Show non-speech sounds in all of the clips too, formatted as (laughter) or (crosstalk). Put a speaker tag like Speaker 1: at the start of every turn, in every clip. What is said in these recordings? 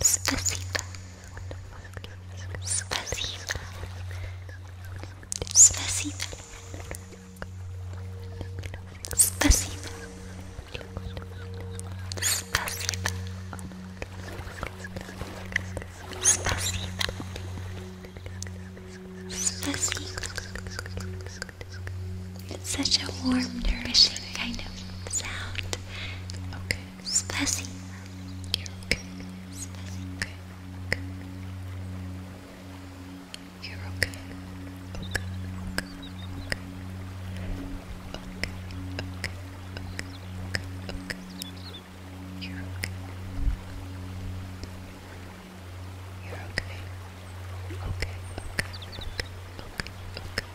Speaker 1: Спасибо. Спасибо. Спасибо. Спасибо. Спасибо. Спасибо. Спасибо. Such a warm, nourishing kind of sound. Okay. Spicy. You're okay. Spicy. Okay. Okay. You're okay. Okay. Okay. Okay. You're okay. You're okay. Okay. Okay. Okay. Okay. Okay.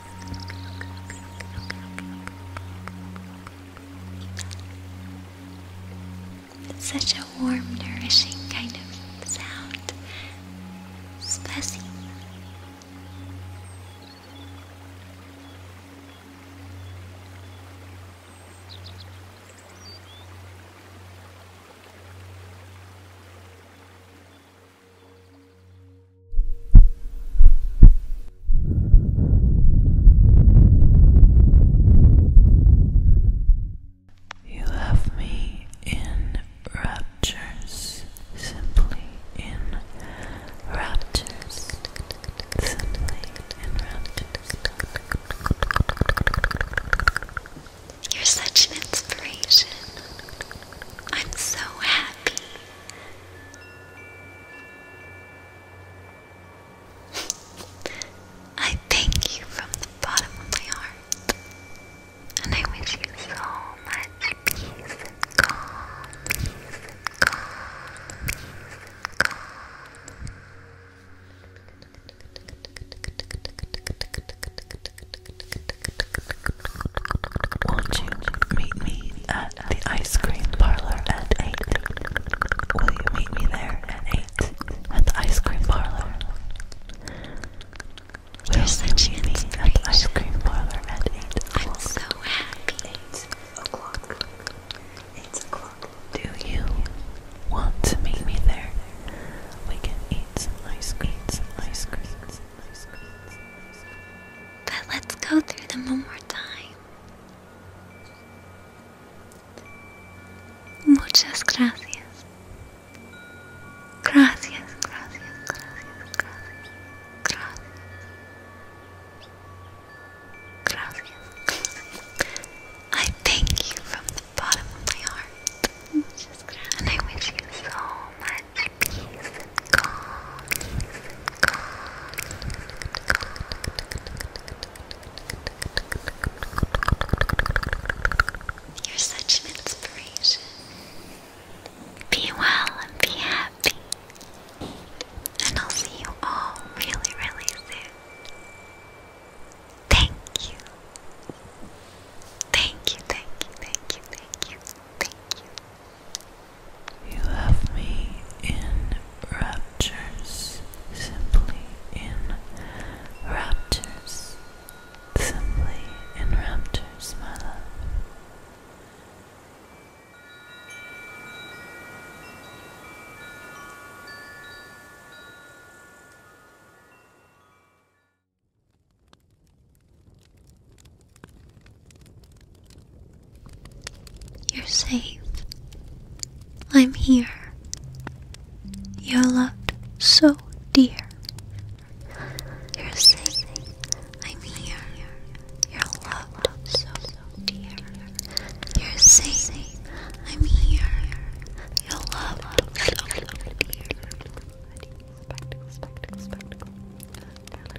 Speaker 1: It's such a warm, nourishing kind of sound. Spicy.
Speaker 2: You have me in raptures, simply in raptures,
Speaker 1: You're such an inspiration.
Speaker 2: I'm so happy. I thank you from the bottom of my heart, and I wish you so much peace and calm,
Speaker 1: won't you meet me at the ice cream parlor at 8? Will you meet me there at 8? At the ice cream parlor. Will you the meet me at the ice cream parlor at 8 o'clock? I'm so happy. 8 o'clock. 8 o'clock. Do you want to meet me there? We can eat some ice creams. some ice creams. But let's go through them one more time. Muchas gracias. Gracias, gracias, gracias, gracias, gracias. I thank you from the bottom of my heart. And I wish you so much peace, calm, calm, calm. You're such an inspiration. Be well and be happy. And I'll see you all really, really soon.
Speaker 2: Thank you, thank you, thank you, thank you, thank you. You left me in raptures, simply in raptures, simply in raptures, my love. You're safe. I'm here. You're loved so dear. You're safe. I'm here. You're loved so dear. You're safe. I'm here. You're loved so dear.
Speaker 3: Spectacle, spectacle, spectacle.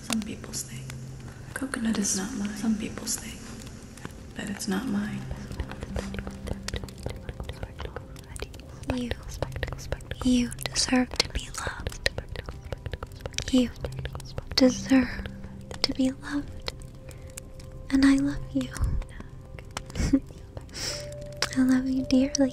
Speaker 3: some people's thing. Coconut is not mine. Some people's thing.
Speaker 2: That it's not mine. You, you deserve to be loved. You deserve to be loved. And I love you. (laughs) I love you dearly.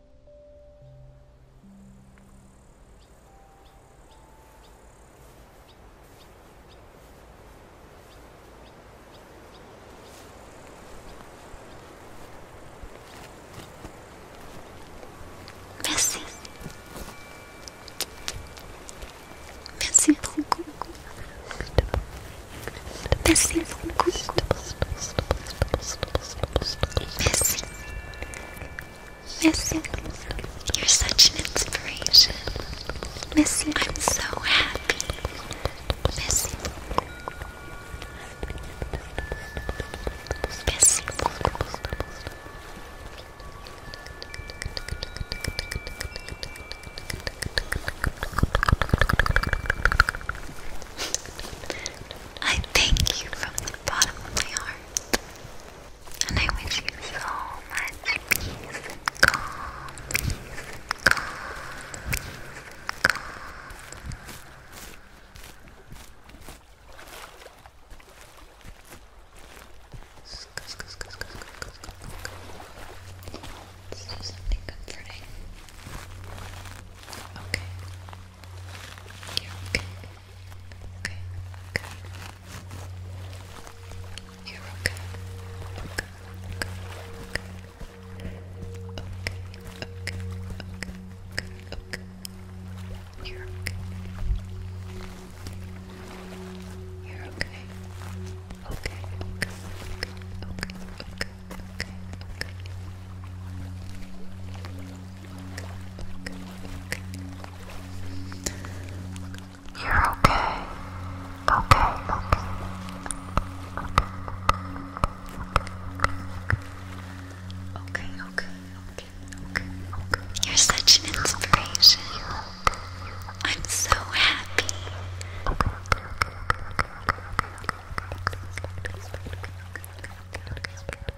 Speaker 1: Merci. Merci beaucoup. Merci beaucoup. Merci. Missy, You're such an inspiration. Missy, I'm so happy. Missy, Missing. I thank you from the bottom of my heart. And I wish you so much peace and calm, Let's do something comforting. Okay. You're okay. Okay, okay. You're okay. Okay, okay, okay. Okay, okay, okay, okay, okay. You're okay. You're okay. Okay, okay, okay, okay, okay, okay, okay. You're okay. Okay, okay. Okay, okay, okay, okay, okay. You're such an inspiration. I'm so happy.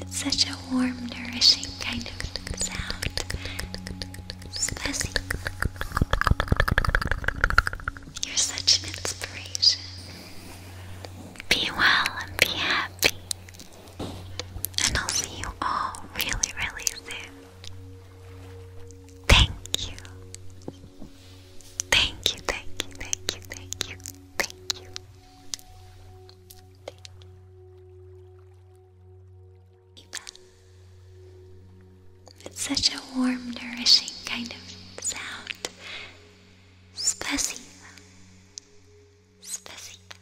Speaker 3: It's such a warm, nourishing kind of sound.
Speaker 1: You're such an inspiration. Be well and be happy. And I'll see you all really, really soon. Thank you Thank you, thank you, thank you, thank you, thank you. It's such a warm, nourishing kind of sound. Spasiba. Spasiba.